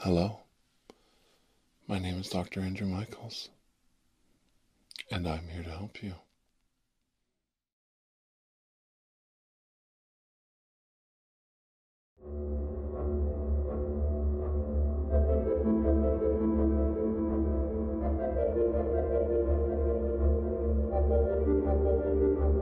Hello, my name is Dr. Andrew Michaels, and I'm here to help you.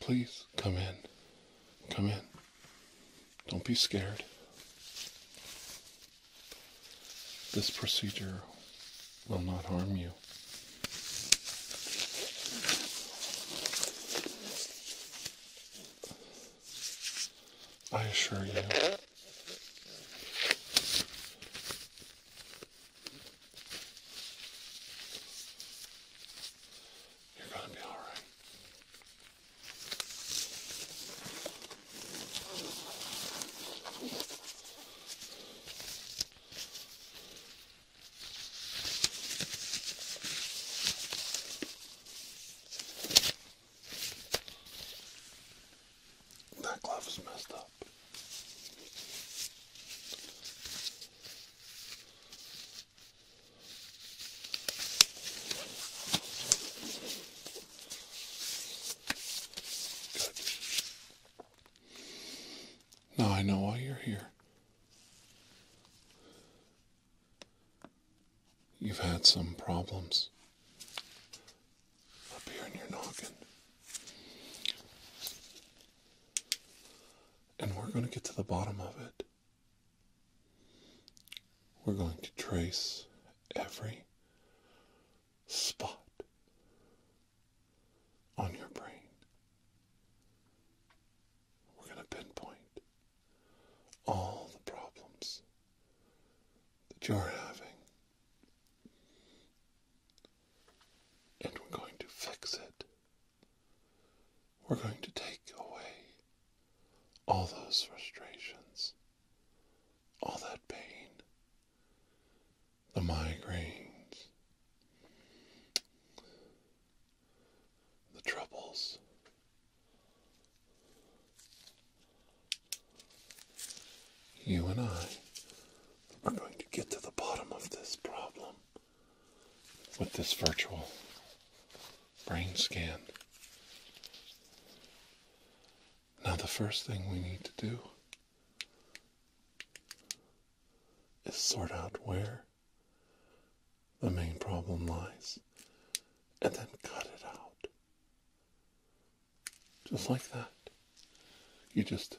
Please come in. Come in. Don't be scared. This procedure will not harm you. I assure you. You're going to be all right. That glove is messed up. Now I know why you're here. You've had some problems up here in your noggin. And we're going to get to the bottom of it. We're going to trace every spot on your brain. We're going to pinpoint all the problems that you're having. And we're going to fix it we're going to take away all those frustrations, all that pain, the migraines, the troubles. You and I are going to get to the bottom of this problem with this virtual brain scan. Now, the first thing we need to do is sort out where the main problem lies and then cut it out. Just like that. You just.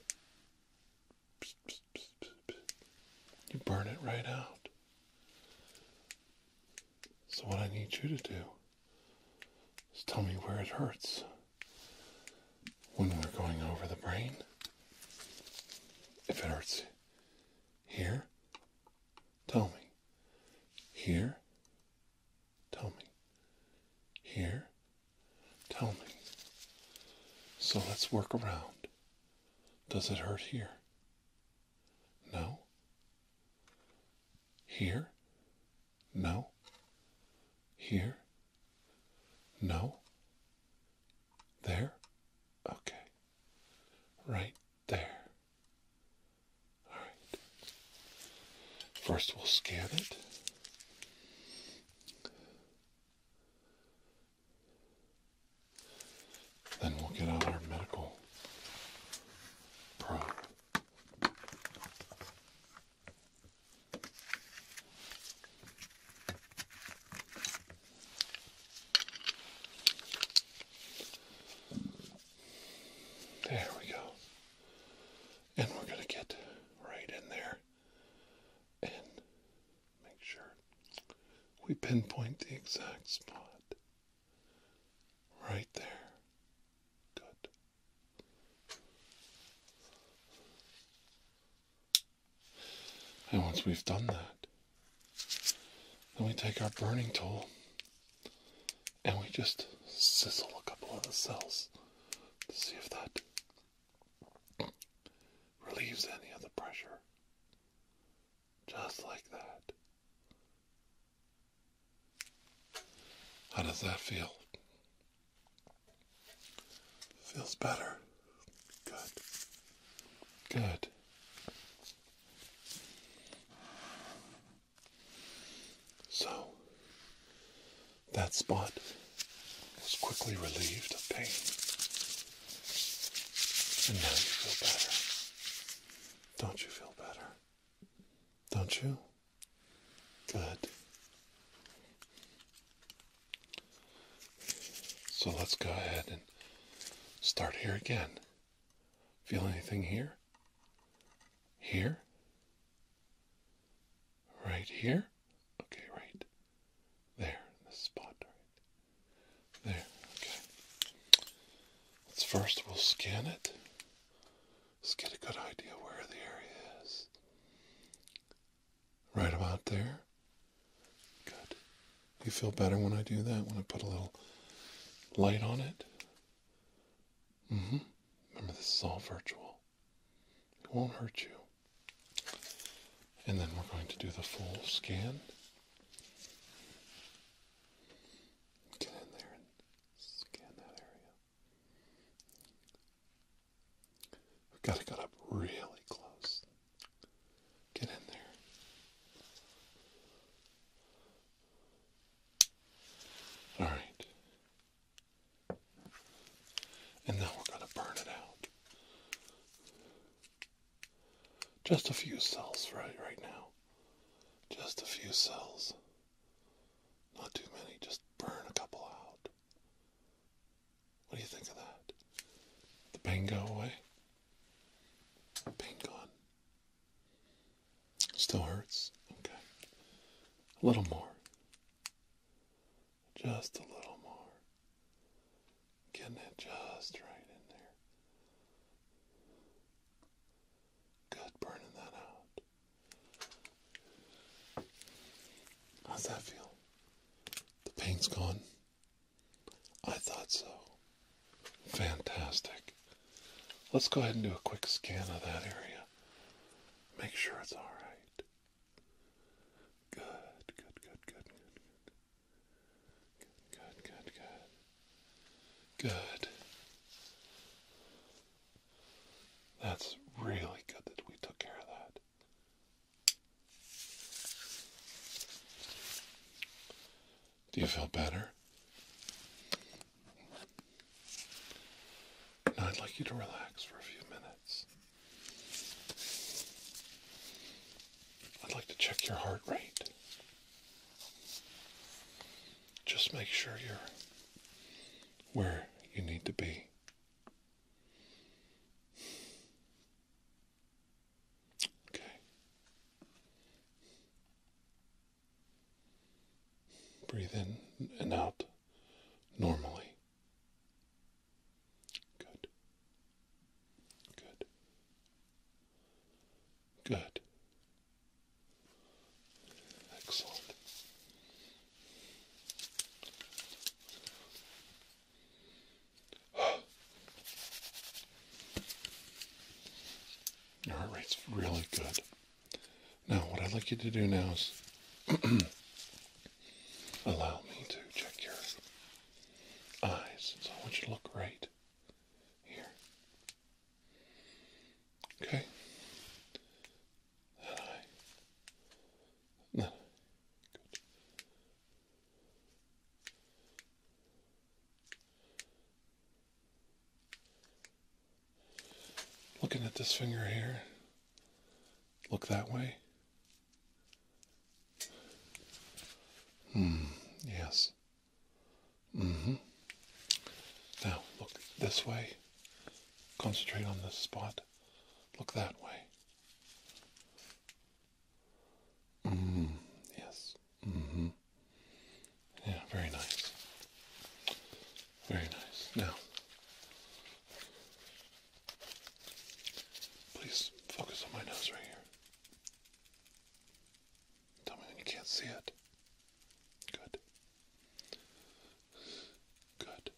You burn it right out. So, what I need you to do is tell me where it hurts when we're going over the brain. If it hurts here, tell me. Here, tell me. Here, tell me. So let's work around. Does it hurt here? No. Here? No. Here? No. There? Okay. Right there. All right. First, we'll scan it. Then we'll get out our medical probe. There we go. And we're going to get right in there and make sure we pinpoint the exact spot. Right there. Good. And once we've done that, then we take our burning tool and we just sizzle a couple of the cells to see if that relieves any of the pressure. Just like that. How does that feel? Feels better. Good. Good. So, that spot was quickly relieved of pain. And now you feel better. Don't you feel better? Don't you? Good. So let's go ahead and start here again. Feel anything here? Here? Right here? Okay, right there, this spot, right? There, okay. Let's first we'll scan it. Let's get a good idea where the area is. Right about there. Good. You feel better when I do that, when I put a little light on it? Mm-hmm. Remember this is all virtual. It won't hurt you. And then we're going to do the full scan. Get in there and scan that area. We've got to get up really close. Get in there. All right. And now we're going to burn it out. Just a few cells right right now. Just a few cells. Not too many, just burn a couple out. What do you think of that? The pain go away? The pain gone. Still hurts? Okay. A little more. Just a little more. Getting it just right in there. Good, burning that out. How's that feel? The pain's gone? I thought so. Fantastic. Let's go ahead and do a quick scan of that area. Make sure it's all right. Good, good, good, good, good, Good, good, good. Good. That's really good that we took care of that. Do you feel better? I'd like you to relax for a few minutes. I'd like to check your heart rate. Just make sure you're where you need to be. Okay. Breathe in and out normally. Good. Good. Good. Excellent. Your heart rate's really good. Now, what I'd like you to do now is allow me to check your eyes. So I want you to look right here. Okay. That eye. That Good. Looking at this finger here. Look that way. Hmm, yes. Mm-hmm. Now look this way. Concentrate on this spot. Look that way. Mm, yes. hmm Yeah, very nice. Very nice. Now please focus on my nose right here. Tell me when you can't see it. Good. Good.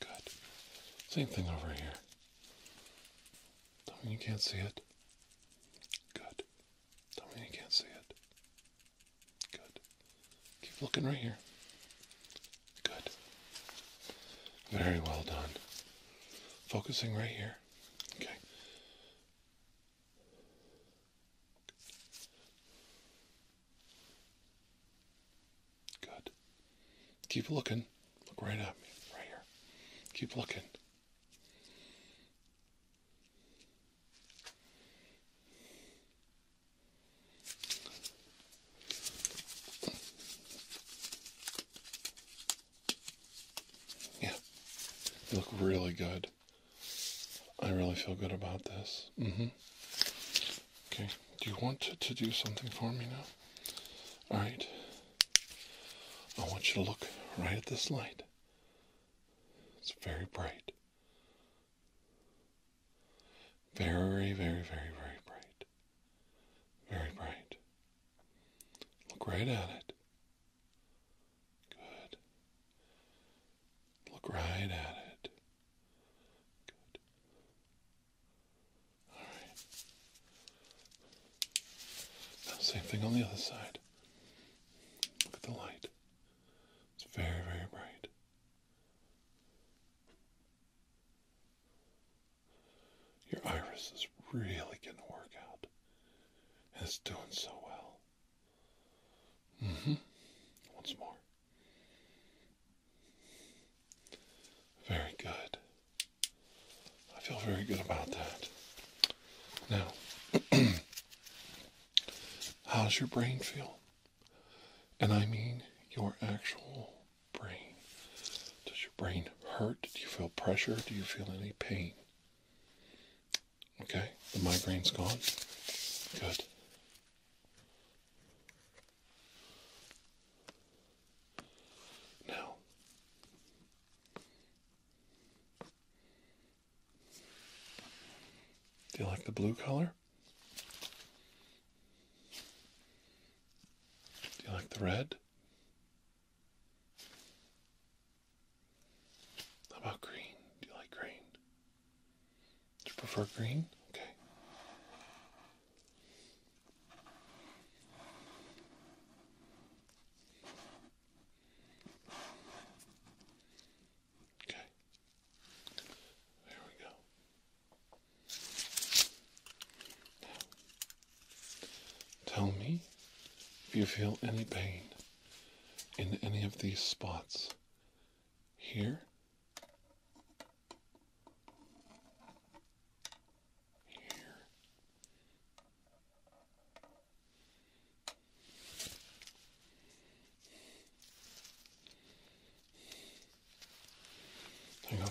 Good. Same thing over here. Tell me you can't see it. Good. Tell me you can't see it. Good. Keep looking right here. Good. Very well done. Focusing right here. Okay. Good. Keep looking. Look right at me, right here. Keep looking. Yeah, you look really good. I really feel good about this. Mm-hmm. Okay, do you want to, to do something for me now? All right. I want you to look right at this light. It's very bright. Very, very, very, very bright. Very bright. Look right at it. Good. Look right at it. Good. All right. same thing on the other side. Look at the light. It's very, very bright. Your iris is really getting to work out. It's doing so well. Mm-hmm. Once more. Very good. I feel very good about that. Now, how's your brain feel? And I mean your actual brain. Does your brain hurt? Do you feel pressure? Do you feel any pain? Okay, the migraine's gone. Good. Now, do you like the blue color? Do you like the red? How about green? Do you like green? Do you prefer green? Okay. Okay. There we go. Now, tell me if you feel any pain in any of these spots here, here, hang on.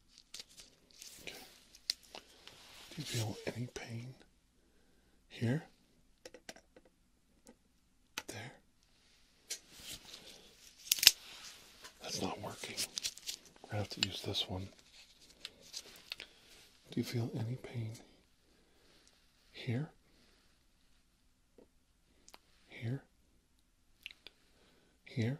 Do you feel any pain here? There. That's not working. I have to use this one. Do you feel any pain here? Here? Here?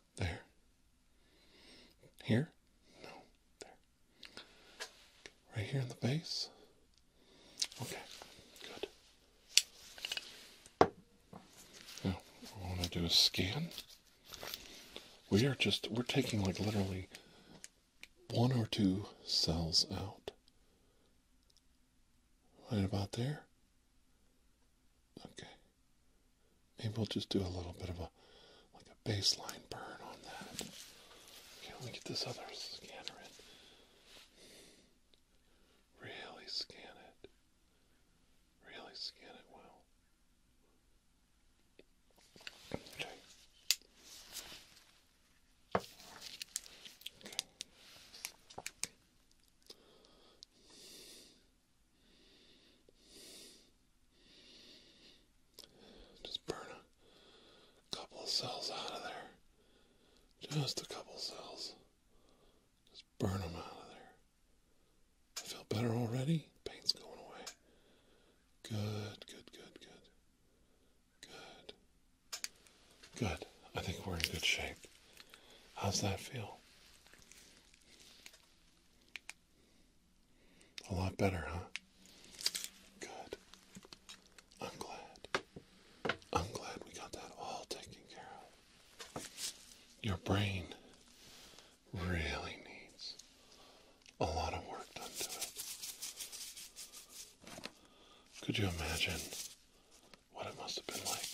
There. Here? No. There. Right here in the base. Okay. Good. Now, what want to do is scan. We are just, we're taking like literally one or two cells out. Right about there. Okay. Maybe we'll just do a little bit of a like a baseline burn on that. Okay, let me get this other scanner in. Really scan it. Really scan it well. Okay. Okay. Just burn a couple of cells out of there. Just a couple cells. Just burn them out of there. I feel better already. Pain's going away. Good, good, good, good. Good. Good. I think we're in good shape. How's that feel? A lot better, huh? Good. I'm glad. I'm glad we got that all taken care of. Your brain really needs a lot of work done to it. Could you imagine what it must have been like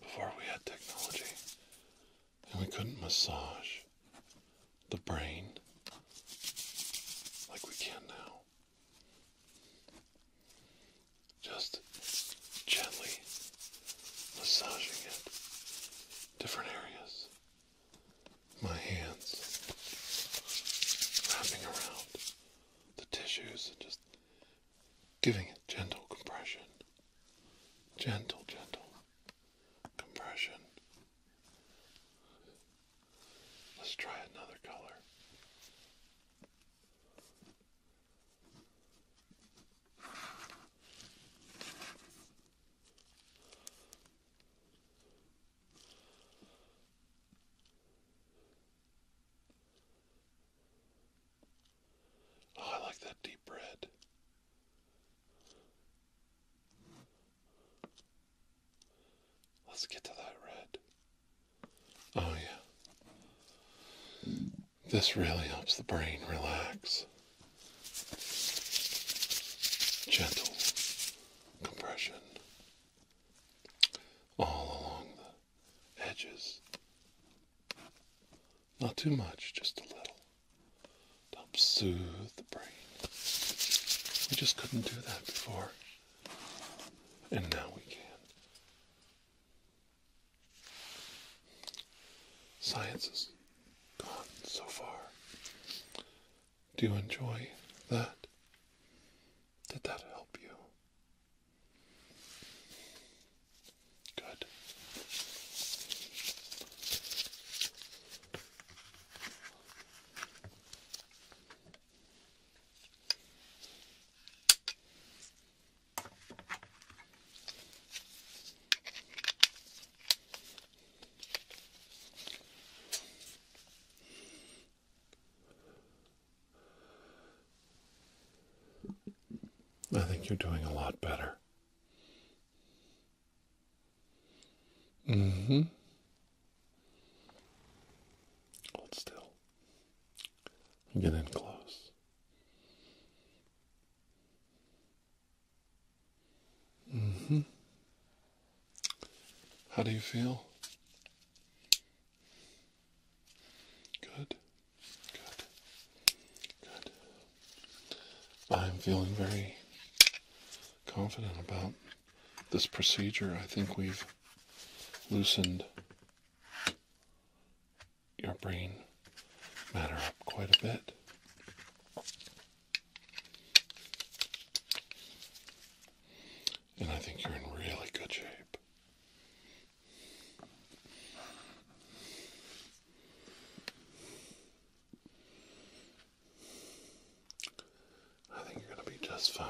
before we had technology and we couldn't massage the brain like we can now. Just gently massaging it. Different areas. My hands wrapping around the tissues and just giving it gentle compression. Gentle, gentle compression. Let's try another color. Oh, I like that deep red. Let's get to that red. Oh, yeah. This really helps the brain relax. Gentle compression all along the edges. Not too much, just a little to help soothe the brain. We just couldn't do that before. And now we can. Science has gone so far. Do you enjoy that? Did that help you? Good. I think you're doing a lot better. Mm hmm. Hold still. get in close. Mm hmm. How do you feel? Good. Good. Good. I'm feeling very confident about this procedure. I think we've loosened your brain matter up quite a bit. And I think you're in really good shape. I think you're going to be just fine.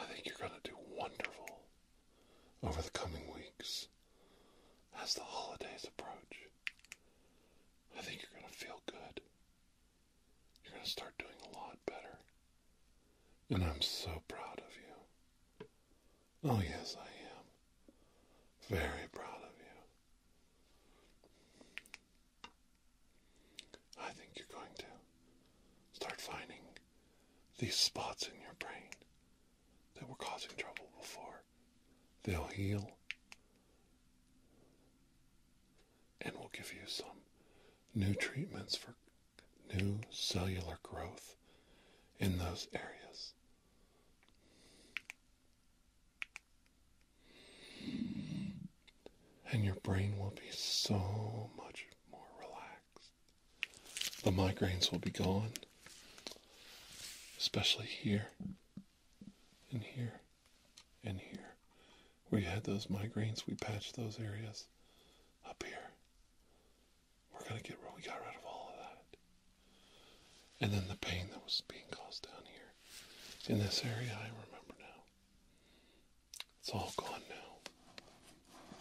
I think you're going to do wonderful over the coming weeks as the holidays approach. I think you're going to feel good. You're going to start doing a lot better. And I'm so proud of you. Oh, yes, I am. Very proud of you. I think you're going to start finding these spots in your brain that were causing trouble before. They'll heal and we will give you some new treatments for new cellular growth in those areas. And your brain will be so much more relaxed. The migraines will be gone, especially here and here and here. where you had those migraines, we patched those areas up here. We're going to get we got rid of all of that. And then the pain that was being caused down here in this area, I remember now. It's all gone now.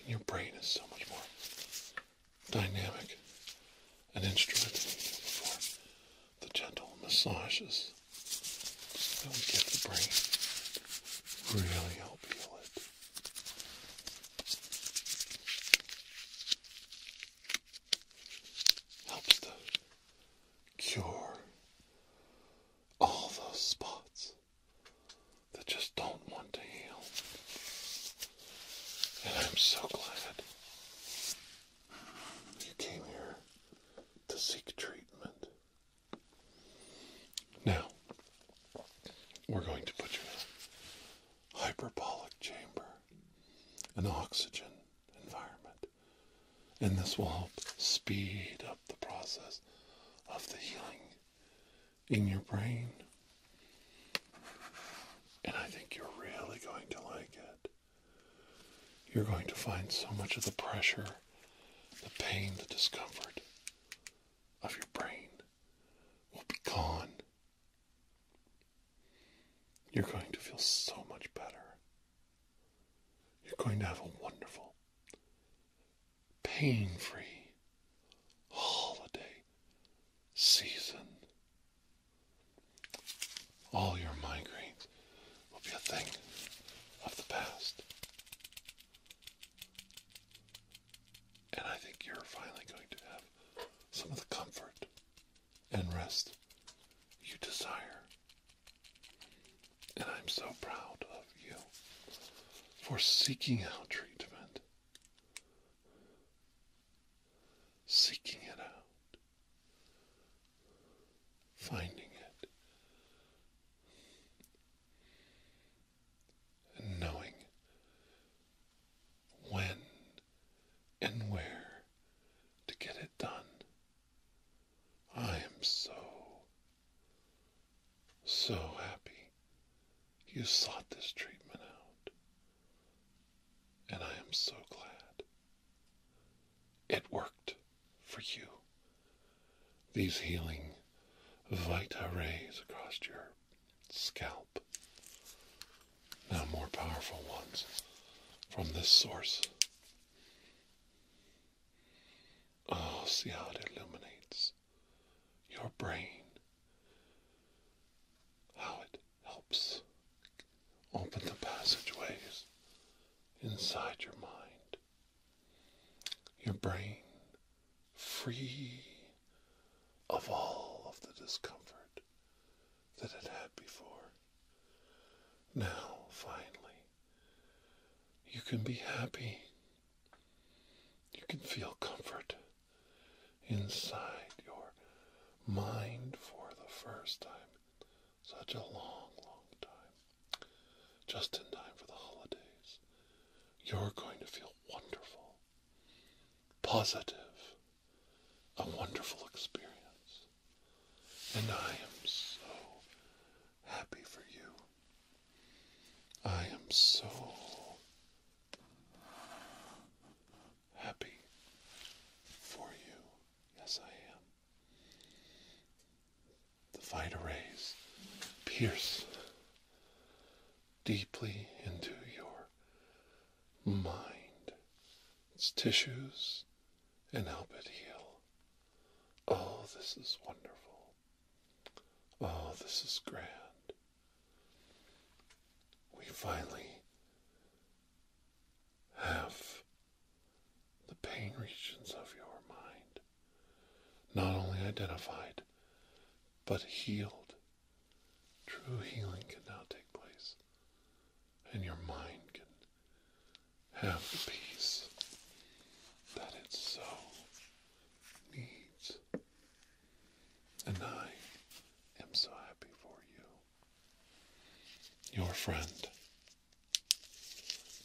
And your brain is so much more dynamic an instrument than before the gentle massages that will get the brain really help heal it. Helps to cure all those spots that just don't want to heal. And I'm so glad you came here to seek treatment. Now, we're going to put you in a hyperbolic chamber, an oxygen environment, and this will help speed up the process of the healing in your brain. And I think you're really going to like it you're going to find so much of the pressure, the pain, the discomfort of your brain will be gone. You're going to feel so much better. You're going to have a wonderful, pain free holiday season all your migraines will be a thing of the past. And I think you're finally going to have some of the comfort and rest you desire. And I'm so proud of you for seeking out treatment, seeking it out, finding it and knowing when and where to get it done. I am so, so happy you sought this treatment out, and I am so glad. It worked for you. These healing Vita rays across your scalp. Now, more powerful ones from this source. Oh, see how it illuminates your brain. How it helps open the passageways inside your mind, your brain free of all of the discomfort that it had before. Now, finally, you can be happy. You can feel comfort inside your mind for the first time such a long, long time. Just in time for the holidays. You're going to feel wonderful, positive, a wonderful experience. And I am so happy for you. I am so happy for you. Yes, I am. The vita rays pierce deeply into your mind, its tissues, and help it heal. Oh, this is wonderful. Oh, this is grand. We finally have the pain regions of your mind not only identified but healed. True healing can now take place, and your mind can have the peace that it so needs. And I am so happy for you, your friend,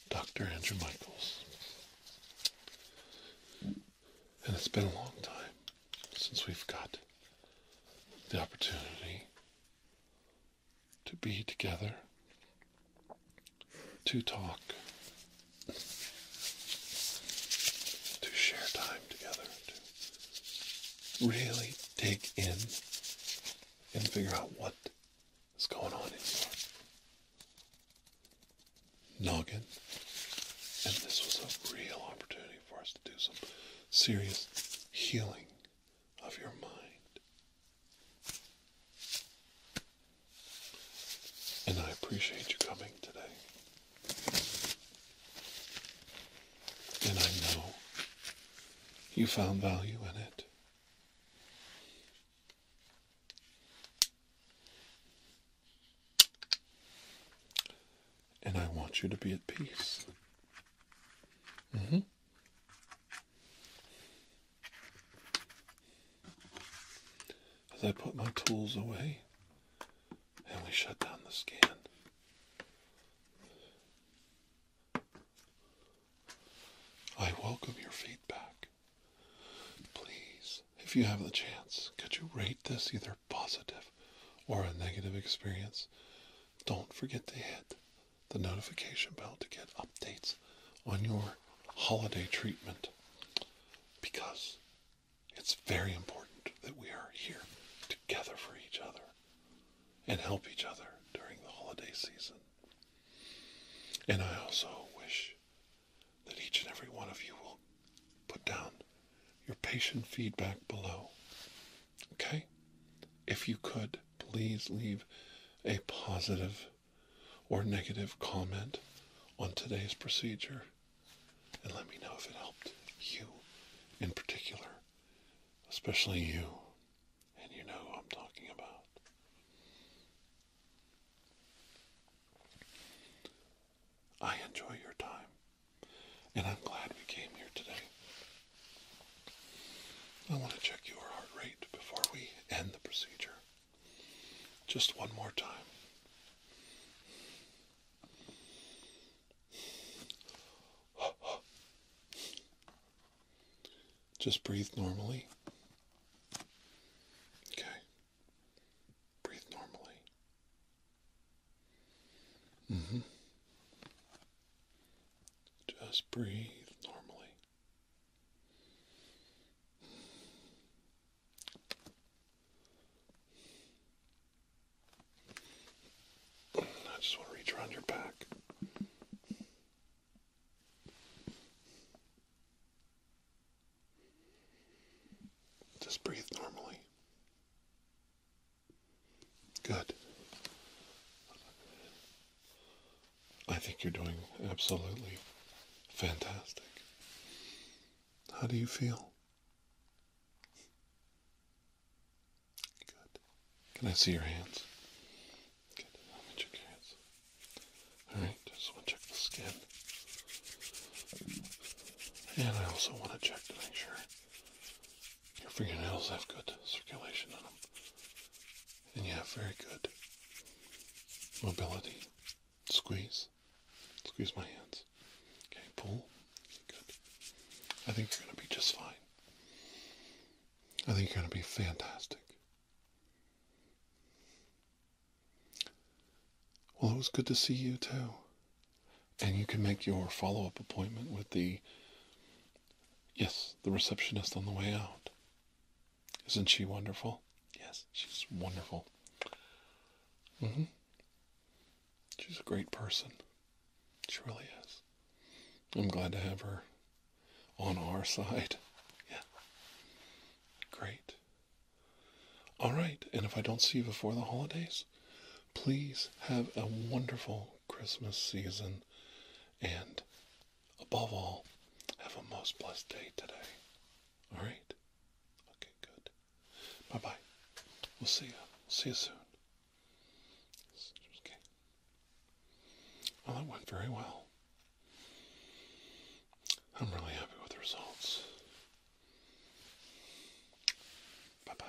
Dr. Andrew Michaels. And it's been a long time since we've got the opportunity to be together, to talk, to share time together, to really dig in and figure out what What's going on in your noggin? And this was a real opportunity for us to do some serious healing of your mind. And I appreciate you coming today. And I know you found value in it. And I want you to be at peace. Mm-hmm. As I put my tools away and we shut down the scan, I welcome your feedback. Please, if you have the chance, could you rate this either positive or a negative experience? Don't forget to hit the notification bell to get updates on your holiday treatment because it's very important that we are here together for each other and help each other during the holiday season. And I also wish that each and every one of you will put down your patient feedback below. Okay? If you could, please leave a positive or negative comment on today's procedure and let me know if it helped you in particular, especially you and you know I'm talking about. I enjoy your time, and I'm glad we came here today. I want to check your heart rate before we end the procedure. Just one more time. Just breathe normally. Okay. Breathe normally. hmm Just breathe normally. I just want to reach around your back. Just breathe normally. Good. I think you're doing absolutely fantastic. How do you feel? Good. Can I see your hands? Good, now let check your hands. Alright, just want to check the skin. And I also want to check to make sure your fingernails have good circulation in them. And you have very good mobility. Squeeze. Squeeze my hands. Okay, pull. Good. I think you're going to be just fine. I think you're going to be fantastic. Well, it was good to see you too. And you can make your follow up appointment with the, yes, the receptionist on the way out. Isn't she wonderful? Yes, she's wonderful. Mm-hmm. She's a great person. She really is. I'm glad to have her on our side. Yeah. Great. All right. And if I don't see you before the holidays, please have a wonderful Christmas season. And above all, have a most blessed day today. All right? Okay, good. Bye bye. We'll see you. See you soon. Okay. Well, it went very well. I'm really happy with the results. Bye bye.